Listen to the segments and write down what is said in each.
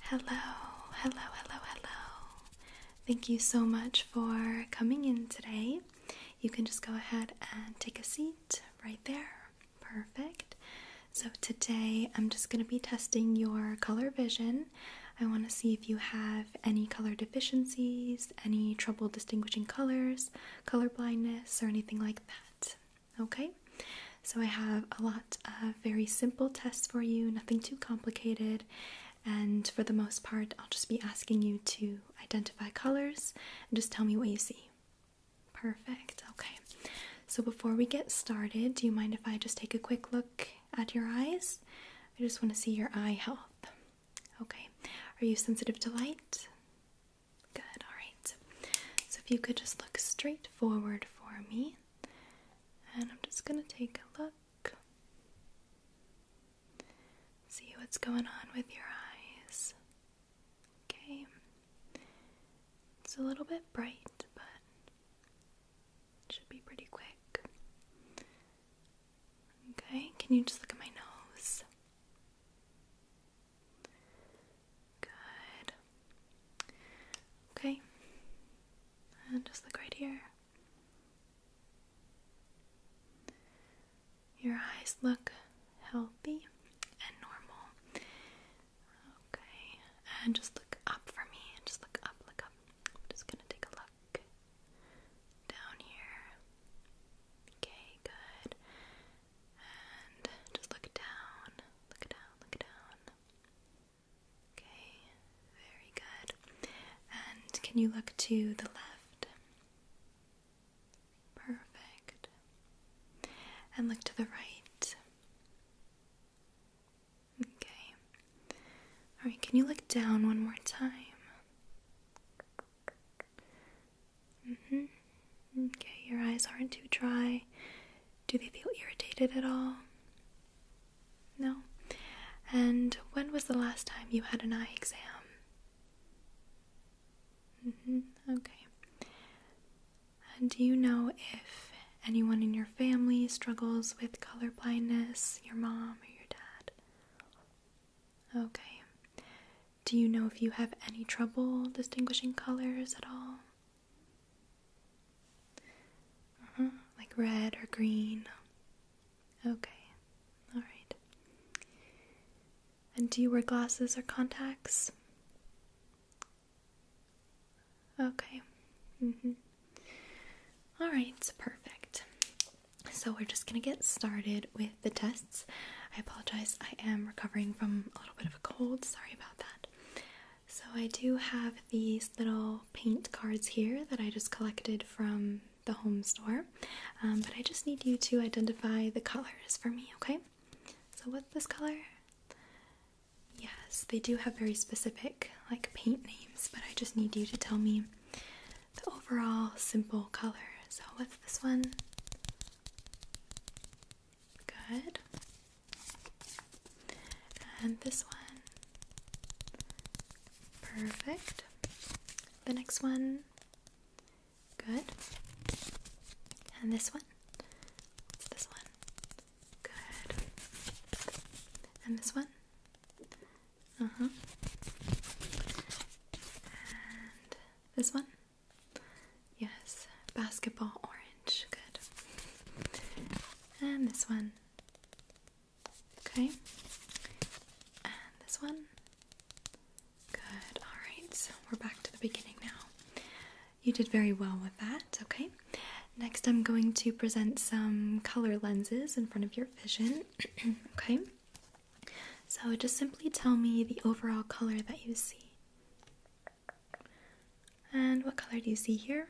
Hello, hello, hello, hello. Thank you so much for coming in today. You can just go ahead and take a seat right there. Perfect. So, today I'm just going to be testing your color vision. I want to see if you have any color deficiencies, any trouble distinguishing colors, color blindness, or anything like that. Okay, so I have a lot of very simple tests for you, nothing too complicated, and for the most part, I'll just be asking you to identify colors and just tell me what you see. Perfect, okay. So before we get started, do you mind if I just take a quick look at your eyes? I just want to see your eye health. Okay, are you sensitive to light? Good, alright. So if you could just look straight forward for me. And I'm just going to take a look. See what's going on with your eyes. Okay. It's a little bit bright, but should be pretty quick. Okay, can you just look at my nose? Good. Okay. And just look right here. Your eyes look healthy and normal. Okay. And just look up for me. And Just look up, look up. I'm just going to take a look down here. Okay, good. And just look down, look down, look down. Okay, very good. And can you look to the left? Perfect. And look to the right. Okay. Alright, can you look down one more time? hmm. Okay, your eyes aren't too dry. Do they feel irritated at all? No. And when was the last time you had an eye exam? Mm -hmm. Okay. do you know if anyone in your family struggles with color blindness? Your mom or your dad? Okay. Do you know if you have any trouble distinguishing colors at all? Uh-huh. Like red or green. Okay. All right. And do you wear glasses or contacts? Okay. Mhm. All right, perfect. So we're just going to get started with the tests. I apologize. I am recovering from a little bit of a cold. Sorry about that. So, I do have these little paint cards here that I just collected from the home store, um, but I just need you to identify the colors for me, okay? So, what's this color? Yes, they do have very specific like paint names, but I just need you to tell me the overall simple color. So, what's this one? Good. And this one. Perfect. The next one. Good. And this one. This one. Good. And this one. Uh huh. And this one. Yes, basketball orange. Good. And this one. Okay. And this one. Good. Alright, so we're back to the beginning now. You did very well with that. Okay. Next, I'm going to present some color lenses in front of your vision. okay. So just simply tell me the overall color that you see. And what color do you see here?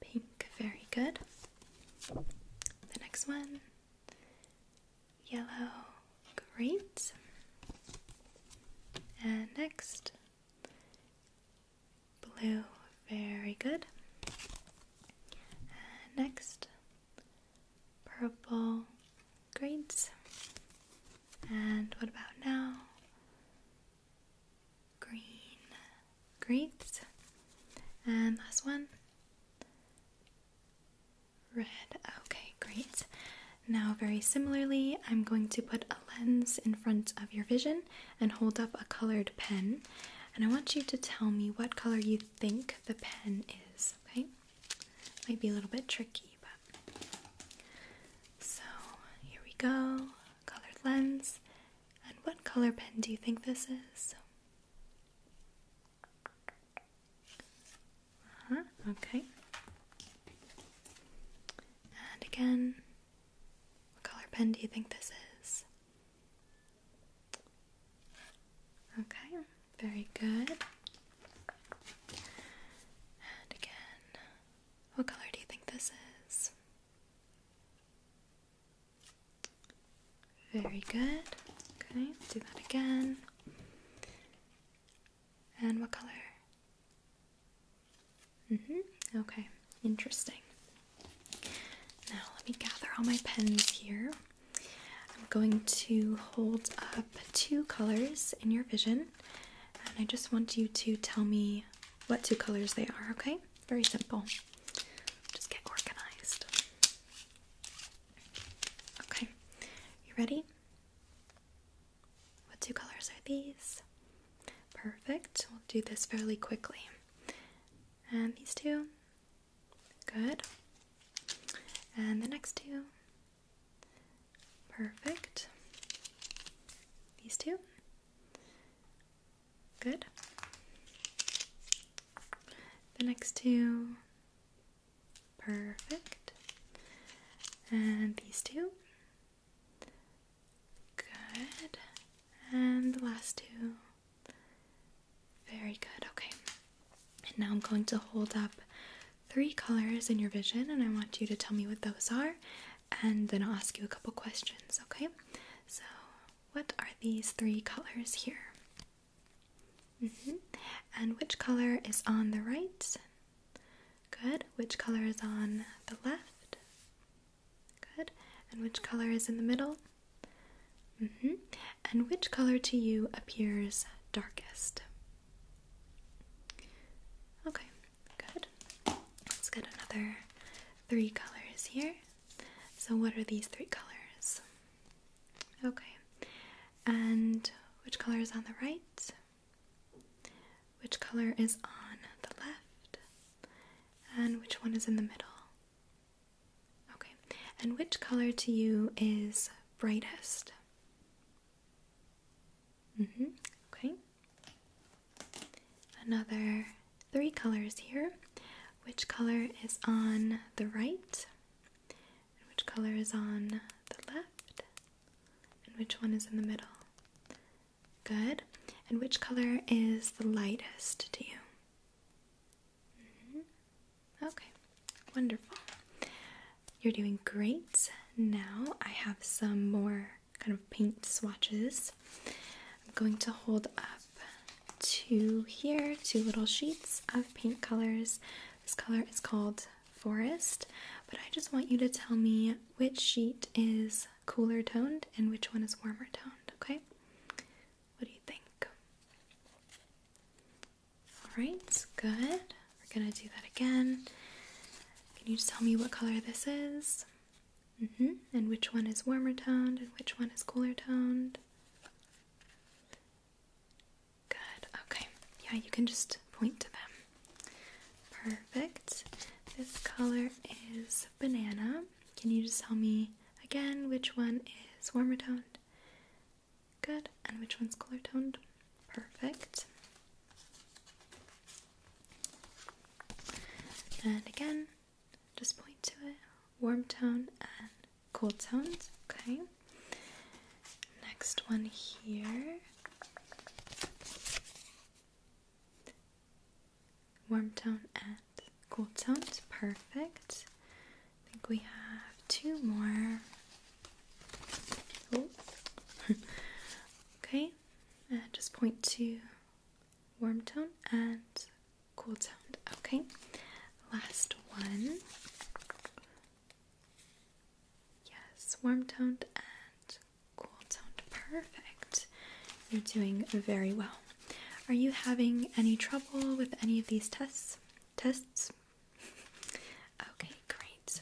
Pink, very good. The next one, yellow, great. And next, blue, very good. And next, purple, great. And what about now? Green. Great. And last one. Red. Okay, great. Now, very similarly, I'm going to put a lens in front of your vision and hold up a colored pen. And I want you to tell me what color you think the pen is, okay? Might be a little bit tricky so here we go. Colored lens. And what color pen do you think this is? Uh-huh, okay. And again, what color pen do you think this is? Okay, very good. And again, what color do you think this is? Very good. Okay, do that again. And what color? Mm-hmm. Okay, interesting. Now let me gather all my pens here. I'm going to hold up two colors in your vision and I just want you to tell me what two colors they are, okay? Very simple. Just get organized. Okay, you ready? What two colors are these? Perfect. We'll do this fairly quickly. And these two. Good. And the next two. Perfect. These two. Good. The next two. Perfect. And these two. Good. And the last two. Very good. Okay. And now I'm going to hold up three colors in your vision, and I want you to tell me what those are, and then I'll ask you a couple questions, okay? So, what are these three colors here? Mm-hmm. And which color is on the right? Good. Which color is on the left? Good. And which color is in the middle? Mm-hmm. And which color to you appears darkest? Okay, good. Let's get another three colors here. So, what are these three colors? Okay, and which color is on the right? Which color is on the left? And which one is in the middle? Okay, and which color to you is brightest? Mm-hmm. Okay. Another three colors here. Which color is on the right? which color is on the left? And which one is in the middle? Good. And which color is the lightest to you? Mm-hmm. Okay, wonderful. You're doing great. Now I have some more kind of paint swatches. I'm going to hold up two here, two little sheets of paint colors. This color is called Forest, but I just want you to tell me which sheet is cooler toned and which one is warmer toned, okay? What do you think? Alright, good. We're gonna do that again. Can you just tell me what color this is? Mm hmm. And which one is warmer toned and which one is cooler toned? Good, okay. Yeah, you can just point to them. Perfect. This color is banana. Can you just tell me again which one is warmer toned Good. And which one's color toned? Perfect. And again, just point to it. Warm tone and cool tones. Okay. Next one here. Warm tone and cool tones. Perfect. I think we have two more. okay, and uh, just point to warm tone and cool tone. Okay, last one. Yes, warm toned and cool toned. Perfect. You're doing very well. Are you having any trouble with any of these tests? Tests? Okay, great.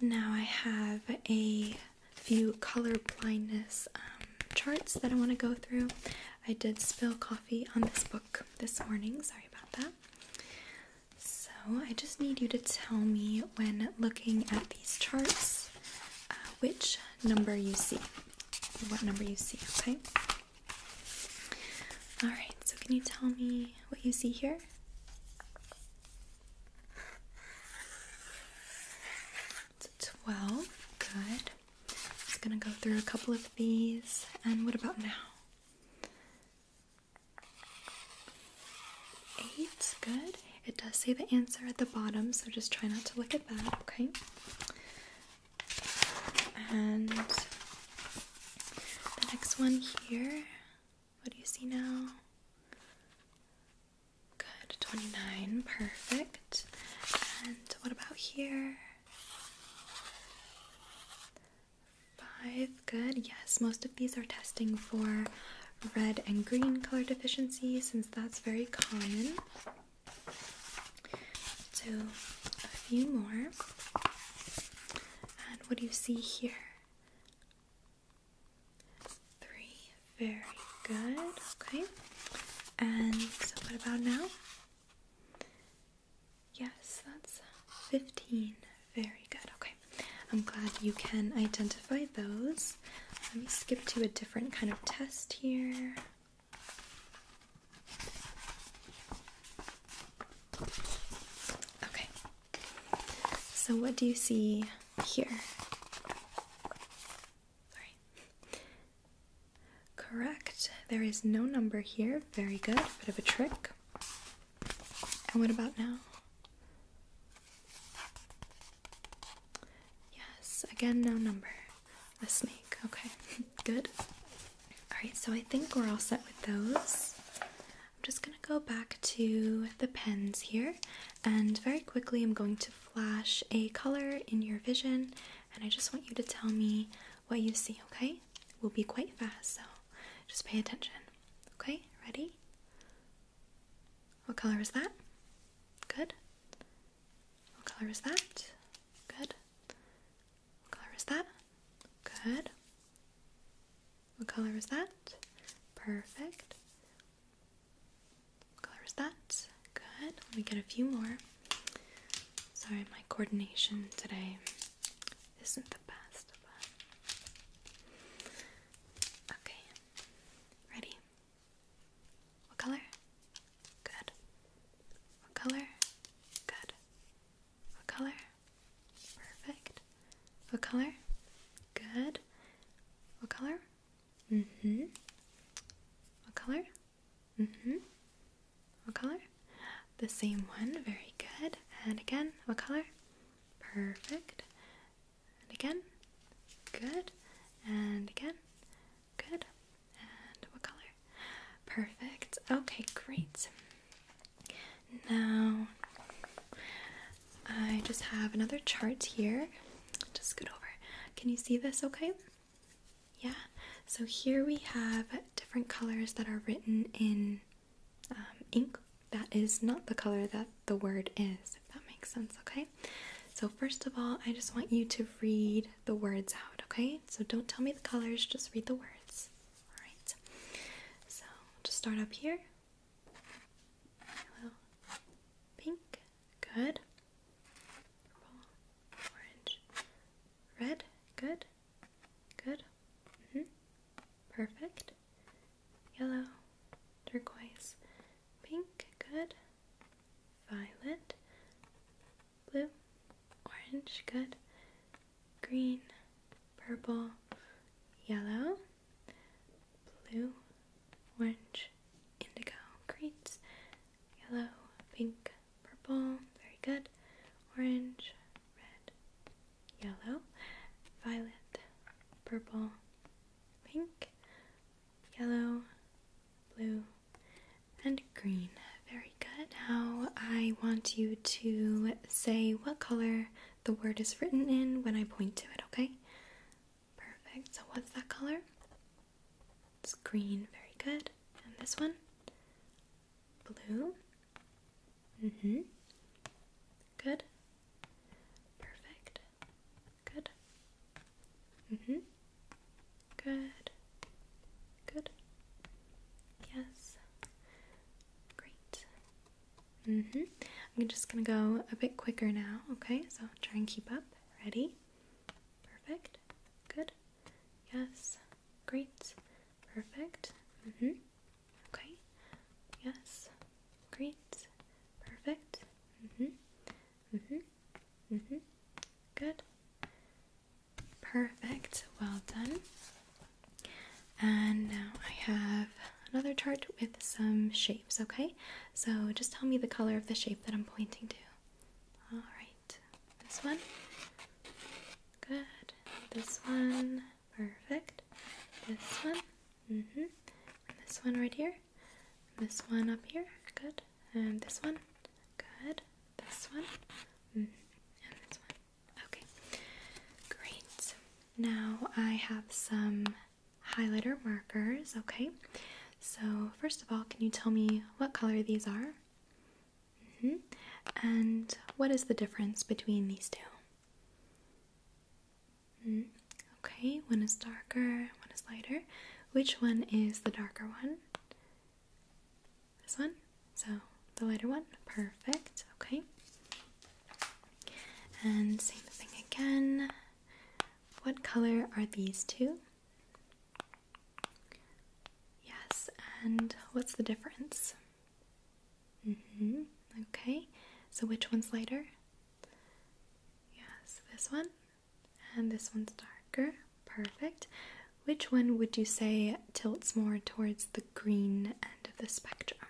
Now I have a few color blindness um, charts that I want to go through. I did spill coffee on this book this morning, sorry about that. So I just need you to tell me when looking at these charts uh, which number you see, what number you see, okay? Alright, so can you tell me what you see here? It's 12. Good. i just gonna go through a couple of these. And what about now? Eight. Good. It does say the answer at the bottom, so just try not to look at that, okay? And the next one here, what do you see now? Good, 29, perfect. And what about here? Five, good. Yes, most of these are testing for red and green color deficiency since that's very common. So, a few more. And what do you see here? Three. Very good. Okay. And so what about now? Yes, that's 15. Very good. Okay. I'm glad you can identify those. Let me skip to a different kind of test here. Okay. So, what do you see here? Sorry. Correct. There is no number here. Very good. Bit of a trick. And what about now? Yes, again, no number. A snake. Okay, good. Alright, so I think we're all set with those. I'm just going to go back to the pens here, and very quickly I'm going to flash a color in your vision, and I just want you to tell me what you see, okay? We'll be quite fast, so just pay attention. Okay, ready? What color is that? Good. What color is that? Good. What color is that? Good. What color is that? Perfect. What color is that? Good. Let me get a few more. Sorry, my coordination today isn't the best, Okay. Ready? What color? Good. What color? Good. What color? Perfect. What color? Good. What color? hmm What color? hmm What color? The same one. Very good. And again, what color? Perfect. And again. Good. And again. Good. And what color? Perfect. Okay, great. Now I just have another chart here. Just scoot over. Can you see this okay? Yeah. So here we have different colors that are written in um, ink. That is not the color that the word is, if that makes sense, okay? So, first of all, I just want you to read the words out, okay? So, don't tell me the colors, just read the words. Alright, so just start up here. A pink, good. Purple, orange, red, good, good. -hmm. Perfect. Yellow, turquoise, pink, good. Violet, blue, orange, good green, purple, yellow, blue, orange, indigo. greens, Yellow, pink, purple. Very good. Orange, red, yellow, violet, purple, pink, yellow, blue, and green. Very good. Now I want you to say what color the word is written in when I point to it, okay? Perfect. So what's that color? It's green. Very good. And this one? Blue. hmm Good. Perfect. Good. hmm Good. Good. Yes. Great. Mm-hmm. I'm just gonna go a bit quicker now, okay? So try and keep up. Ready? Perfect. Good. Yes. Great. Perfect. Mm-hmm. Okay. Yes. Great. Perfect. hmm Mm-hmm. Mm-hmm. Good. Perfect, well done. And now I have another chart with some shapes, okay? So just tell me the color of the shape that I'm pointing to. Alright, this one. Good. This one. Perfect. This one. hmm. this one right here. this one up here. Good. And this one. Good. This one. Mm-hmm. And this one. Okay, great. Now I have some highlighter markers, okay? So, first of all, can you tell me what color these are? Mm-hmm. And what is the difference between these two? Mm-hmm. Okay, one is darker, one is lighter. Which one is the darker one? This one? So the lighter one? Perfect. Okay. And same thing again. What color are these two? Yes, and what's the difference? Mm-hmm. Okay. So which one's lighter? Yes, this one. And this one's darker. Perfect. Which one would you say tilts more towards the green end of the spectrum?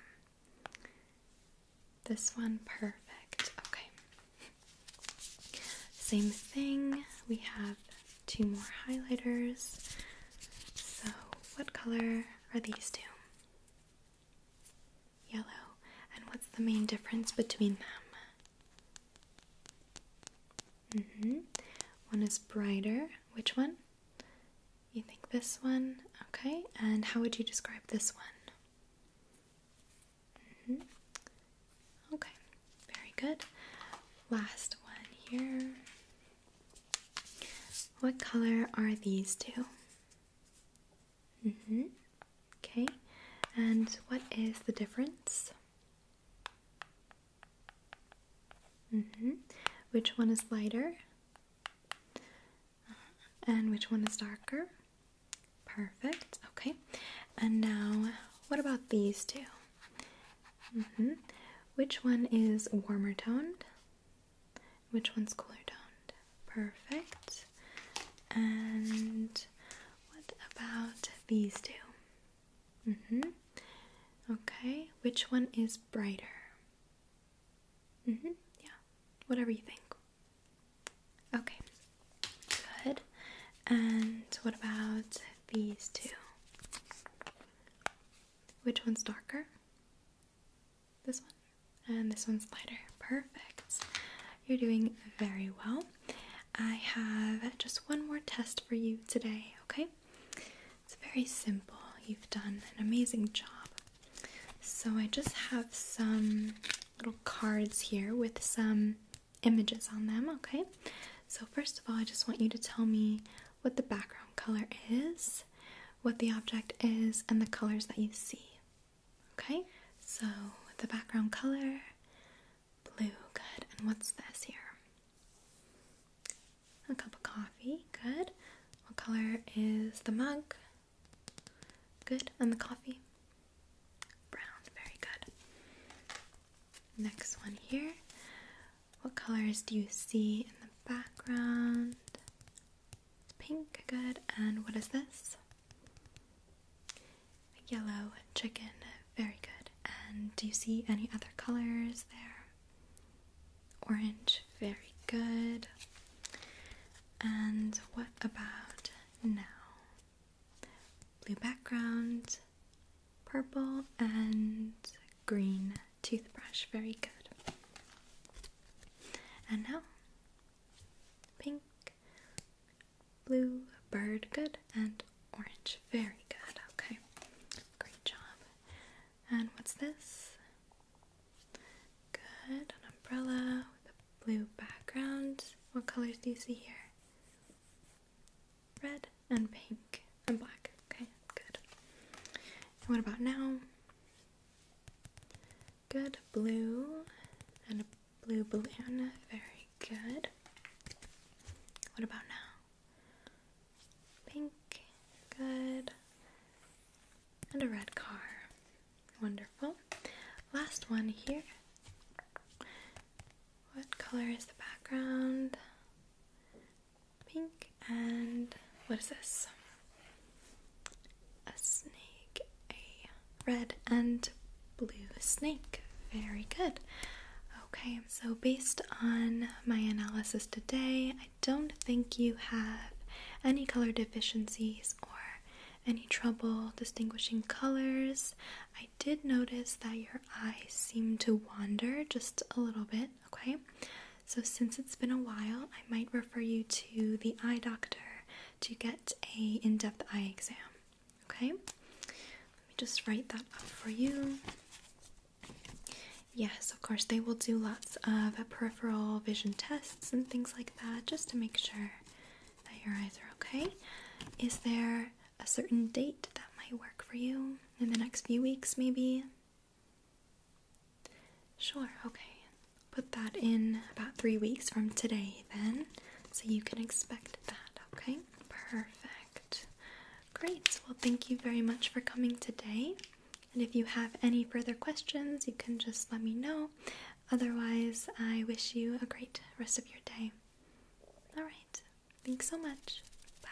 This one, perfect. Okay. Same thing. We have two more highlighters. So, what color are these two? Yellow. And what's the main difference between them? Mm-hmm. One is brighter. Which one? You think this one? Okay. And how would you describe this one? Mm-hmm. Okay, very good. Last one here. What color are these two? Mm-hmm. Okay. And what is the difference? Mm -hmm. Which one is lighter? And which one is darker? Perfect. Okay. And now, what about these two? Mm -hmm. Which one is warmer toned? Which one's cooler toned? Perfect. And what about these two? Mm hmm. Okay, which one is brighter? Mm hmm. Yeah, whatever you think. Okay, good. And what about these two? Which one's darker? This one. And this one's lighter. Perfect. You're doing very well. I have just one more test for you today, okay? It's very simple. You've done an amazing job. So, I just have some little cards here with some images on them, okay? So, first of all, I just want you to tell me what the background color is, what the object is, and the colors that you see, okay? So, the background color Blue, good. And what's this here? A cup of coffee, good. What color is the mug? Good. And the coffee? Brown, very good. Next one here. What colors do you see in the background? pink, good. And what is this? yellow chicken, very good. And do you see any other colors there? Orange. Very good. And what about now? Blue background, purple, and green toothbrush. Very good. And now, pink, blue, bird, good, and orange. Very good. Okay. Great job. And what's this? Good. An umbrella with a blue background. What colors do you see here? Red and pink and black. Okay, good. And what about now? Good. Blue and a blue balloon. Very good. What about now? Pink, good. And a red car. Wonderful. Last one here. What color is the background? Pink and what is this? A snake. A red and blue snake. Very good. Okay, so based on my analysis today, I don't think you have any color deficiencies or any trouble distinguishing colors. I did notice that your eyes seem to wander just a little bit, okay? So, since it's been a while, I might refer you to the eye doctor to get a in-depth eye exam. Okay, let me just write that up for you. Yes, of course, they will do lots of peripheral vision tests and things like that just to make sure that your eyes are okay. Is there a certain date that might work for you in the next few weeks, maybe? Sure, okay. Put that in about three weeks from today, then, so you can expect that, okay? Perfect. Great, well, thank you very much for coming today. And if you have any further questions, you can just let me know. Otherwise, I wish you a great rest of your day. All right, thanks so much. Bye.